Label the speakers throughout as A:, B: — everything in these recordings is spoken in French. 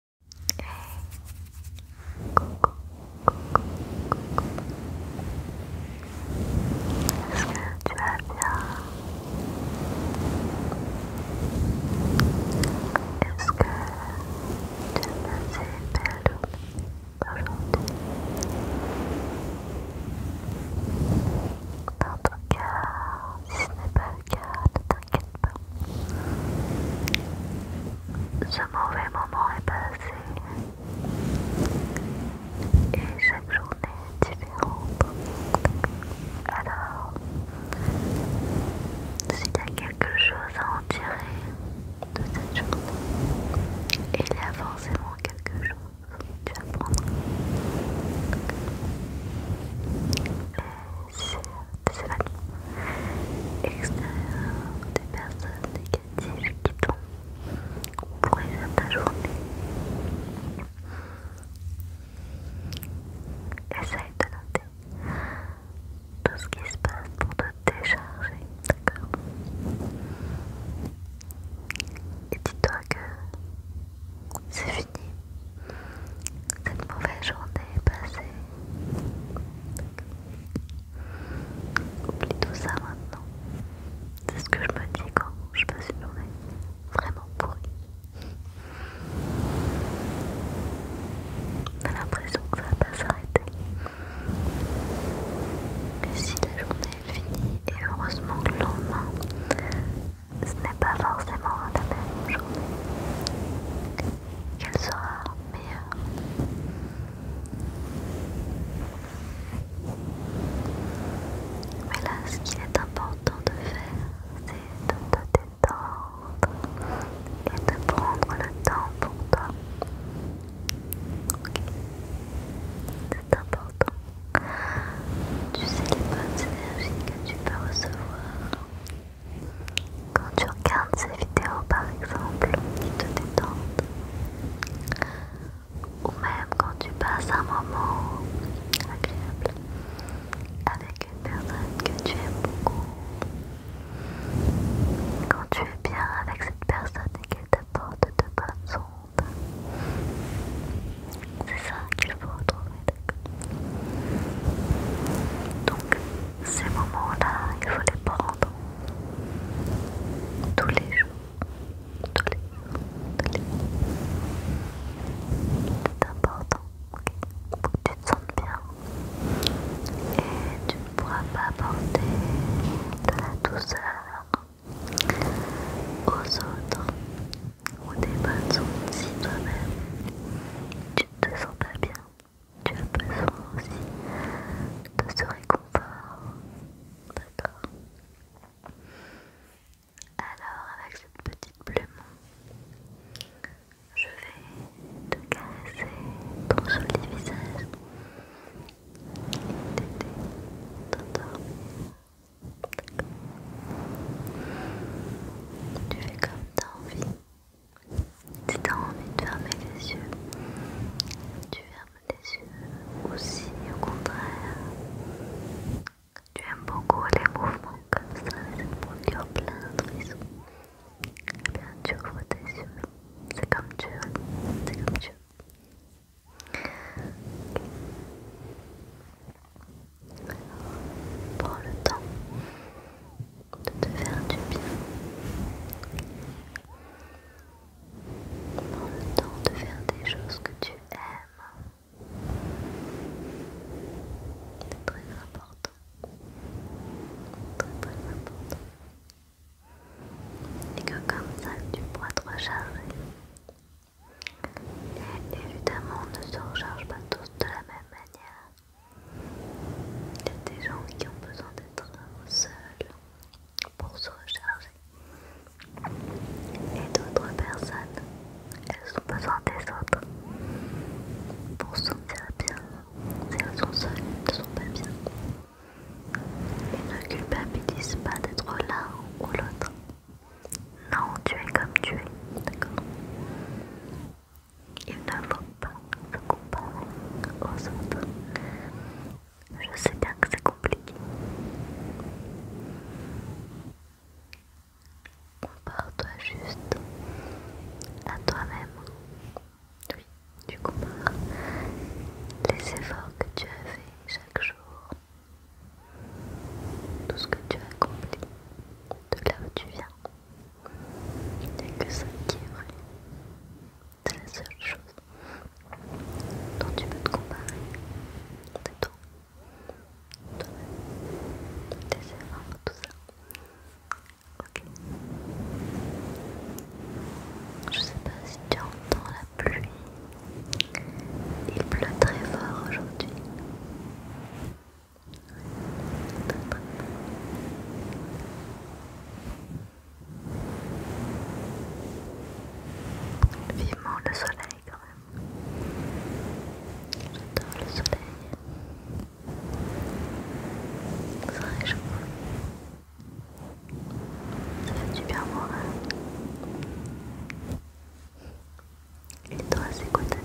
A: Coucou, coucou, coucou Est-ce que tu vas bien Est-ce que tu as passé une belle aujourd'hui Dans ton cœur, si ce n'est pas le cas, ne t'inquiète pas t'inquiète pas. Ce mauvais moment est passé et chaque journée est différente. Alors, s'il y a quelque chose à en tirer de cette journée, il y a forcément quelque chose que tu apprendras c'est la extérieure des personnes négatives qui tombent pour de ta journée. Essaye de noter tout ce qui se passe pour te décharger, d'accord Et dis-toi que c'est fini. Cette mauvaise journée est passée. Oublie tout ça maintenant. C'est ce que je me dis quand je passe une journée vraiment pourrie. a l'impression que ça va pas s'arrêter. Et si la journée est finie, et heureusement que le lendemain, ce n'est pas forcément la même journée qu'elle sera meilleure. Mais là, ce qu'il est important de faire, c'est de te détendre et de prendre le temps pour toi. C'est important. Tu sais les bonnes énergies que tu peux recevoir quand tu regardes ces vidéos par exemple, qui te détendent, ou même quand tu passes un moment agréable avec une personne que tu aimes beaucoup, quand tu es bien avec cette personne et qu'elle porte de bonnes ondes, c'est ça qu'il faut retrouver donc, ces moments-là, il faut les prendre tous les jours. Tous les jours, tous les jours. C'est important, ok Pour que tu te sentes bien. Et tu ne pourras pas porter de la douceur aux autres ou des bonnes choses si toi-même tu ne te sens pas bien. Tu as besoin aussi de ce réconfort. D'accord Alors, avec cette petite plume, je vais te caresser ton joli visage et t'aider t'endormir. Tu fais comme t'as envie. Si t'as envie de fermer les yeux, tu fermes les yeux. aussi, au contraire, tu aimes beaucoup les mouvements comme ça, ça te plein de raisons. Eh bien, tu ouvres tes yeux. C'est comme tu veux. C'est comme tu veux. Alors, le temps de te faire du bien. le temps de faire des choses que tu aimes. C'est très important. Très très important. Et que comme ça tu pourras te recharger. Et évidemment on ne se recharge pas tous de la même manière. Il y a des gens qui ont besoin d'être seuls pour se recharger. Et d'autres personnes, elles ont besoin des autres pour se sentir bien. Si elles sont seules, elles ne sont pas bien. Et ne culpabilisent pas d'être l'un ou l'autre. Non, tu es comme tu es, d'accord il ne pas se comparer aux autres. Je sais bien que c'est compliqué. Compare-toi juste à toi-même. Oui, tu compares les efforts que tu as faits chaque jour, tout ce que tu as accompli, de là où tu viens, il n'y a que ça qui est vrai. C'est la seule chose dont tu peux te comparer. C'est toi. Toi-même. Tes tout ça. Ok. Je sais pas si tu entends la pluie. Il pleut très fort aujourd'hui. Vivement le soleil quand même. J'adore le soleil. Ça réchauffe. Ça fait du bien moral. Et toi, c'est quoi ta vie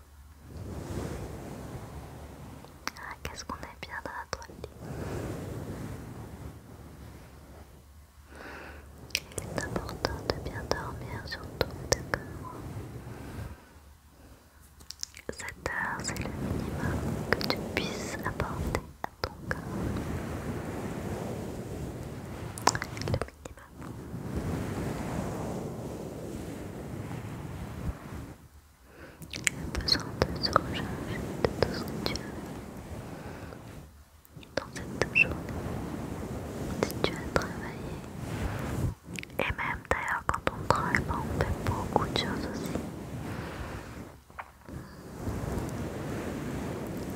A: Ah, qu'est-ce qu'on aime bien dans notre lit. Il est important de bien dormir, sur surtout, d'accord cette heure, c'est le minimum que tu puisses apporter à ton corps. Le minimum. Il a besoin de se recharger de tout ce que tu as dans cette journée. Si tu as travaillé, et même d'ailleurs quand on travaille, pas, on fait beaucoup de choses aussi.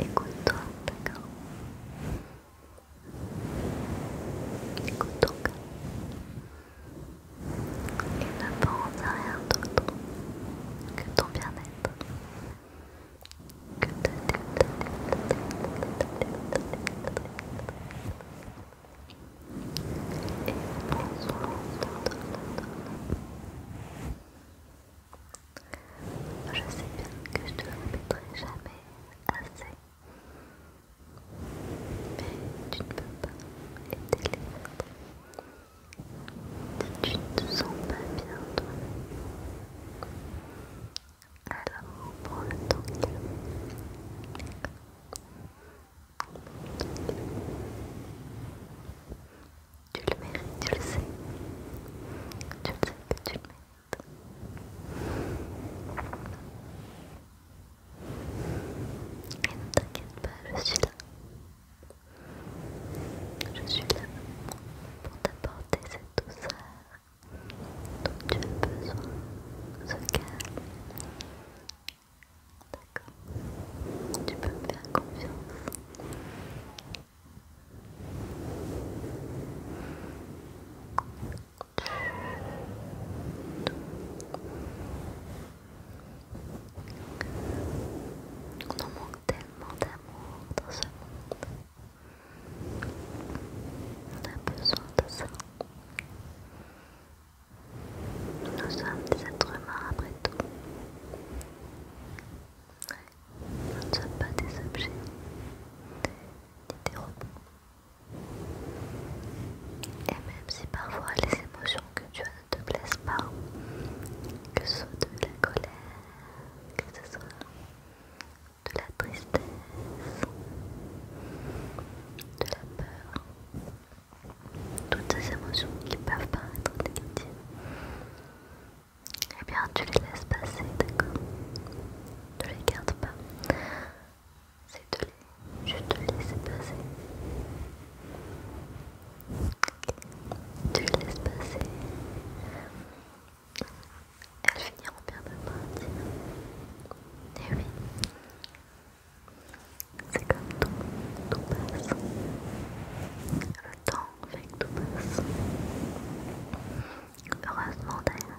A: Écoute-toi, d'accord Écoute ton cœur et ne pense à rien d'autre que ton bien-être, Je sais bien que je te le jamais assez. Mais tu ne peux pas les téléphone. Si tu ne te sens pas bien toi-même, alors prends le temps qu'il tu le mérites, tu le sais. Tu le sais que tu le mérites. Et ne t'inquiète pas, je suis là. Je suis là pour t'apporter cette douceur dont tu as besoin, ce calme. D'accord Tu peux me faire confiance. On en manque tellement d'amour dans ce monde. On a besoin de ça. Nous sommes des êtres humains après tout. Nous ne sommes pas des objets des robots. Et même si parfois les émotions que tu as ne te plaisent pas, que ce soit de la colère, que ce soit de la tristesse, de la peur, toutes ces émotions qui peuvent paraître négatives, eh bien tu les laisses passer, d'accord Ne les gardes pas c'est de Je te laisse passer. Tu laisses passer. Elle finit en de partir. Et eh oui. C'est comme tout, tout passe. Le temps fait que tout passe. Heureusement d'ailleurs.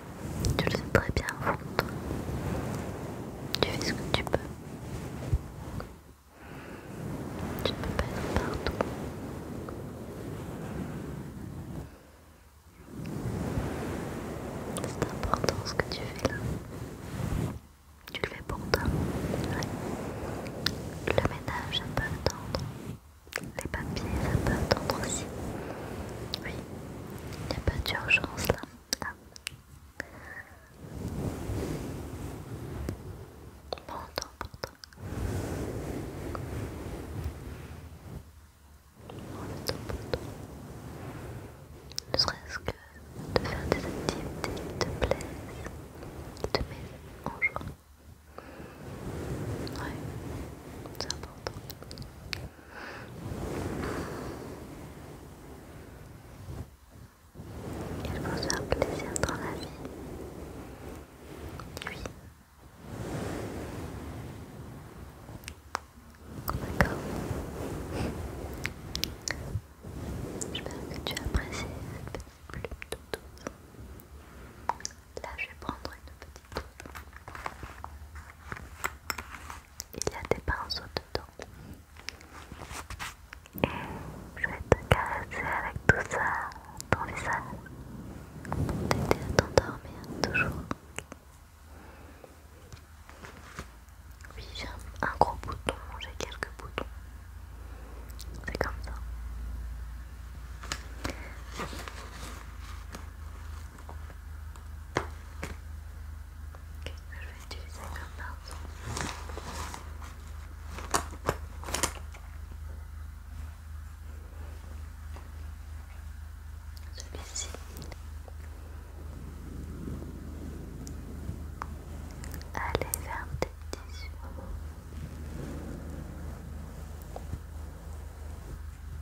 A: Tu le fais très bien en fond Tu fais ce que tu peux. Tu ne peux pas être partout. C'est important ce que tu fais là. Tu le fais pour toi. Le ménage, ça peut attendre. Les papiers, ça peut attendre aussi. Il n'y a pas d'urgence là. Bon temps pour toi. Mauvais temps pour Ne serait-ce que de faire des activités qui te plaisent, qui te mettent en joie. oui c'est important. Quel bonheur, plaisir dans la vie. Oui. D'accord. J'espère que tu as apprécié cette petite plume tout douce. Là, je vais prendre une petite plume il y a des pinceaux dedans. Et je vais te caresser avec tout ça dans les pour t'aider à t'endormir toujours. Oui, j'ai un gros bouton, j'ai quelques boutons. C'est comme ça. Ok, je vais utiliser un pinceau. Celui-ci. Allez vers tes tissus.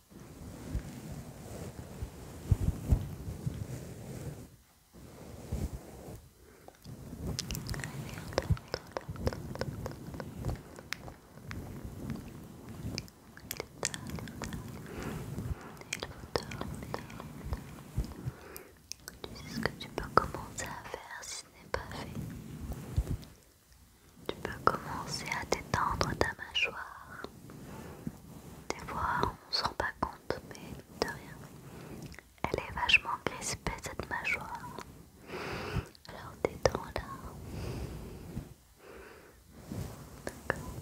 A: Tu sais ce que tu peux commencer à faire si ce n'est pas fait. Tu peux commencer à détendre ta mâchoire. Des fois, on s'en rend pas compte, mais de rien. Elle est vachement crispée cette mâchoire. Alors détends-la.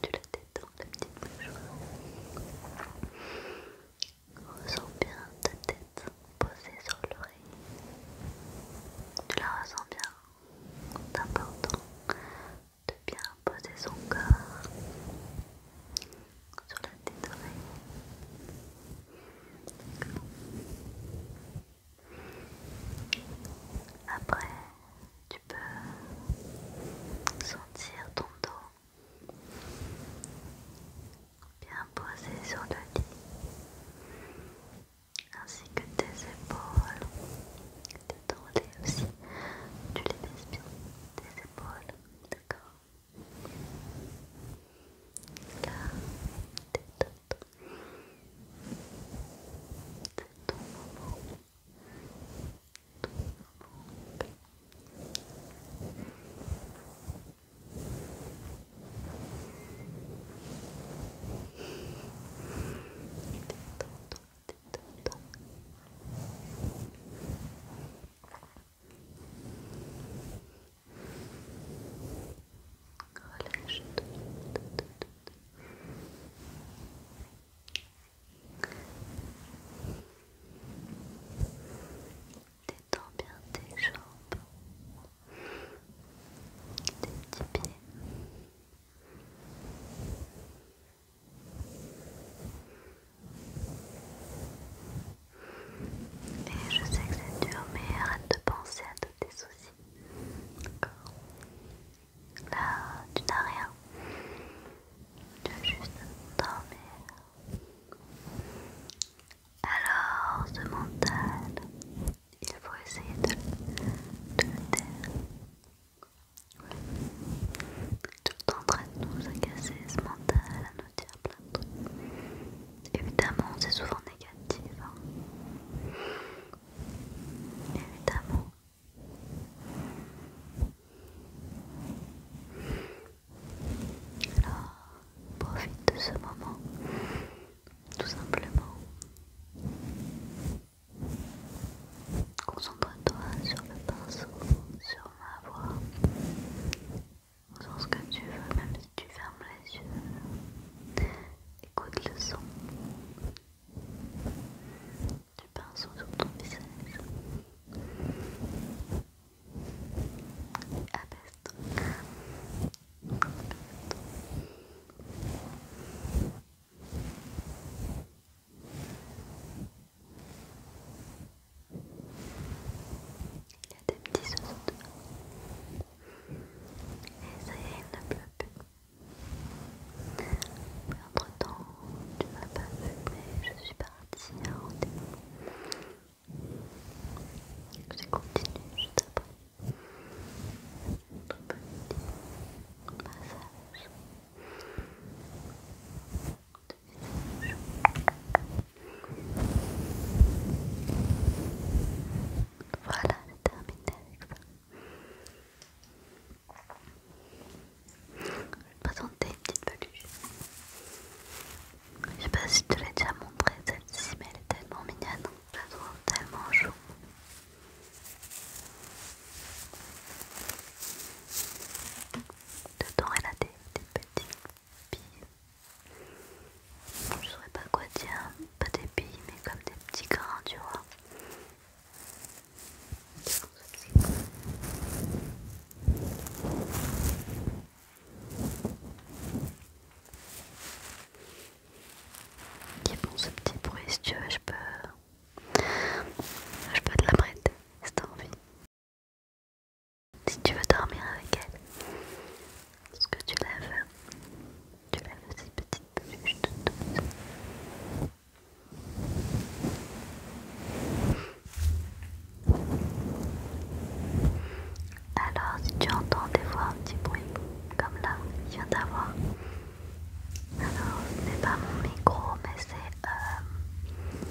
A: tu la détends, la petite mâchoire. Ressens bien ta tête posée sur l'oreille. Tu la ressens bien. C'est important de bien poser son corps sur la tête Après, tu peux sentir ton dos bien posé sur le lit, ainsi que tes épaules, ton lait aussi. Tu les baisses bien, tes épaules, d'accord Là, tes tontons. C'est ton moment. Ton moment. Tes tontons. Relâche toi Détends bien tes jambes, tes petits pieds. Et je sais que c'est dur, mais arrête de penser à tous tes soucis. D'accord Là, tu n'as rien. Tu as juste dormir. Alors, ce mental, il faut essayer de, de le taire. Tout en train de nous agacer ce mental à nous dire plein de trucs. Évidemment, c'est souvent négatif. Hein. Évidemment. Alors, profite de ce moment, tout simplement. Concentre-toi sur le pinceau, sur ma voix, sur ce que tu veux, même si tu fermes les yeux. Écoute le son du pinceau sur ton visage. Abaisse-toi. abaisse toi il y a des petits oiseaux Et ça y est, il ne pleut plus. Mais entre temps, tu ne m'as pas vu, mais je suis partie à un rendez-vous. J'ai continue juste après. Notre petit massage de visage. Voilà, j'ai terminé avec ça. Je vais te présenter une petite peluche. Je sais pas si je te l'ai déjà montrée celle-ci, mais elle est tellement mignonne, je la trouve tellement chou. De elle des, petites billes. Je saurais pas quoi dire, pas des billes, mais comme des petits grains, tu vois. Qui font ce petit bruit, si tu veux, je peux je peux te la prêter si envie. Si tu veux dormir avec elle. est-ce que tu lèves Tu lèves ces petites petite de douce. Alors si tu entends des fois un petit bruit comme là, il vient d'avoir, alors, ce n'est pas mon micro, mais c'est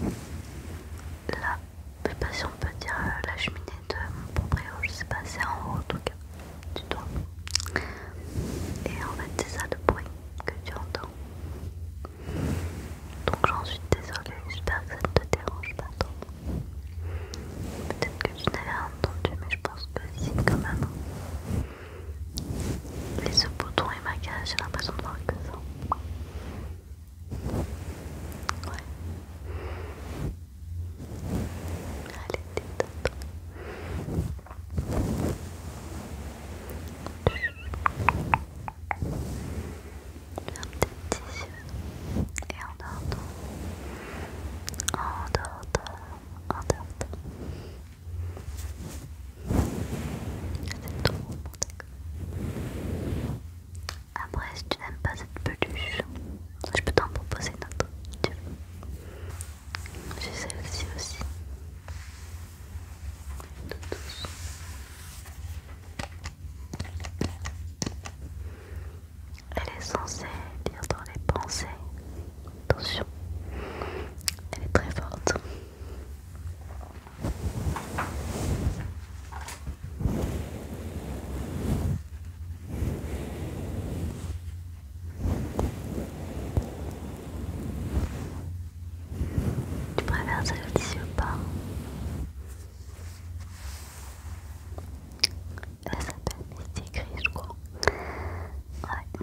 A: euh, la, si on peut dire euh, la cheminée de mon proprio, je sais pas, c'est en haut en tout cas, du toit. Et en fait, c'est ça le bruit que tu entends. Donc, j'en suis désolée, j'espère que ça ne te dérange pas trop. Peut-être que tu n'avais rien entendu, mais je pense que c'est quand même. Mais ce bouton est ma j'ai l'impression de voir que ça. Ouais. Allez, détends-toi J'ai un petit petit. Et en d'autres. En d'autres. En d'autres. Après, si tu n'aimes pas cette peluche, je peux t'en proposer une autre. J'ai celle-ci aussi. douce. Elle est censée lire dans les pensées Attention, elle est très forte. Tu préfères ça le tissu ou pas Elle s'appelle Misty Gris, je crois. Ouais.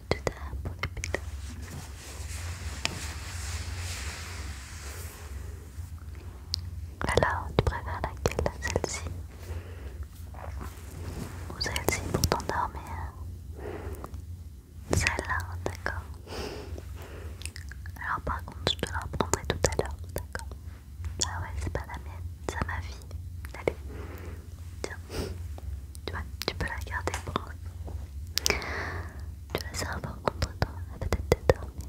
A: Tu t'es pour les pétales. Alors, tu préfères laquelle Celle-ci Ou celle-ci pour t'endormir Celle-là, d'accord. Alors par contre, je te la reprendrai tout à l'heure, d'accord Ah ouais, c'est pas la mienne, c'est ma vie. Allez, Tiens, tu vois, tu peux la garder pour Tu la sers pas contre toi, elle va peut-être t'endormir.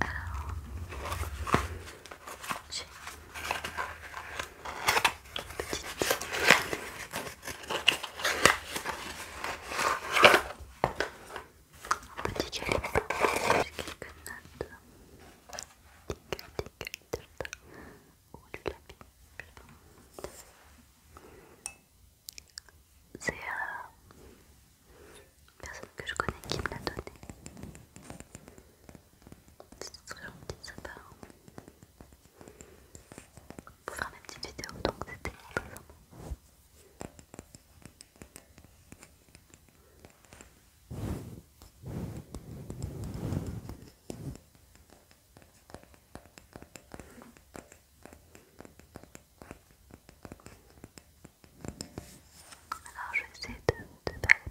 A: Alors, j'ai une petite petit calepin j'ai quelques notes. Tic, tic, tic, C'est euh, une personne que je connais qui me l'a donné. C'est très gentil, ça part. Pour faire mes petites vidéos, donc c'était très alors je vais essayer de, de D'accord.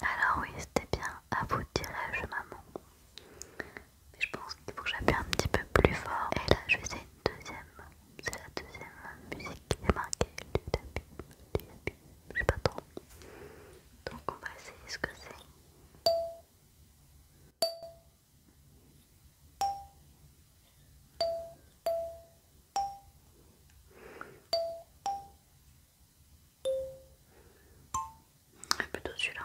A: Alors oui, c'était bien, à vous dirais-je maman. Mais je pense qu'il faut que j'appuie un petit peu plus fort. Et là, je fais une deuxième c'est la deuxième musique qui est marquée du début, du début, je sais pas trop. Donc on va essayer ce que c'est. Plutôt celui-là.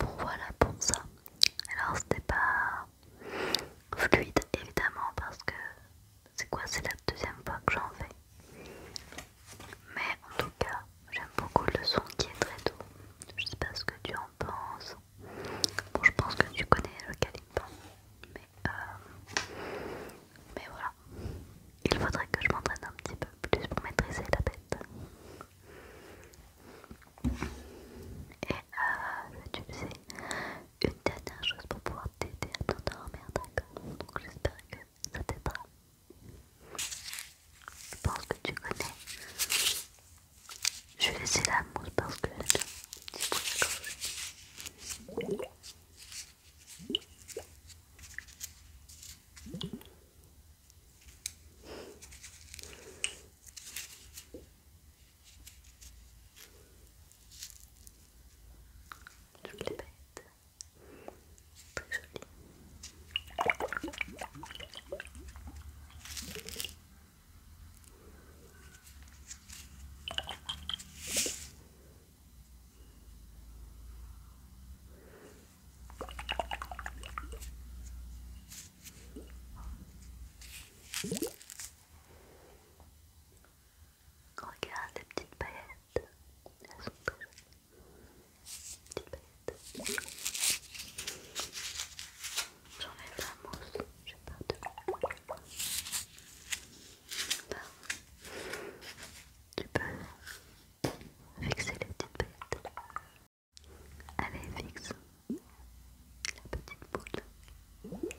A: voilà pour ça. Alors c'était pas fluide évidemment parce que c'est quoi c'est la deuxième fois que j'en fais. Mais en tout cas J'aime beaucoup le son qui est très doux. Je sais pas ce que tu en penses. Bon, je pense que tu connais le calypso, Mais, euh, mais voilà. Il faudrait que je m'entraîne un petit peu plus pour maîtriser la bête. Et euh, tu sais, une dernière chose pour pouvoir t'aider à t'endormir, d'accord Donc j'espère que ça t'aidera. Je pense que tu connais. Je vais laisser la mousse parce que c'est pour la gorge. Je les bête. Très jolie. Regarde les petites paillettes, elles sont très jolies. Petite bête. J'enlève la mousse, je pars de Tu peux fixer les petites bêtes. Allez, fixe la petite boule.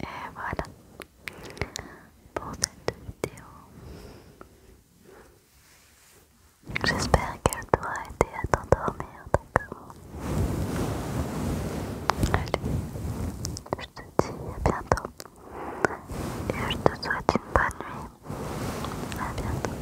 A: Et voilà pour cette vidéo. J'espère qu'elle t'aura aidé à t'endormir, d'accord euh, Allez, je te dis à bientôt. Et je te souhaite une bonne nuit. À bientôt.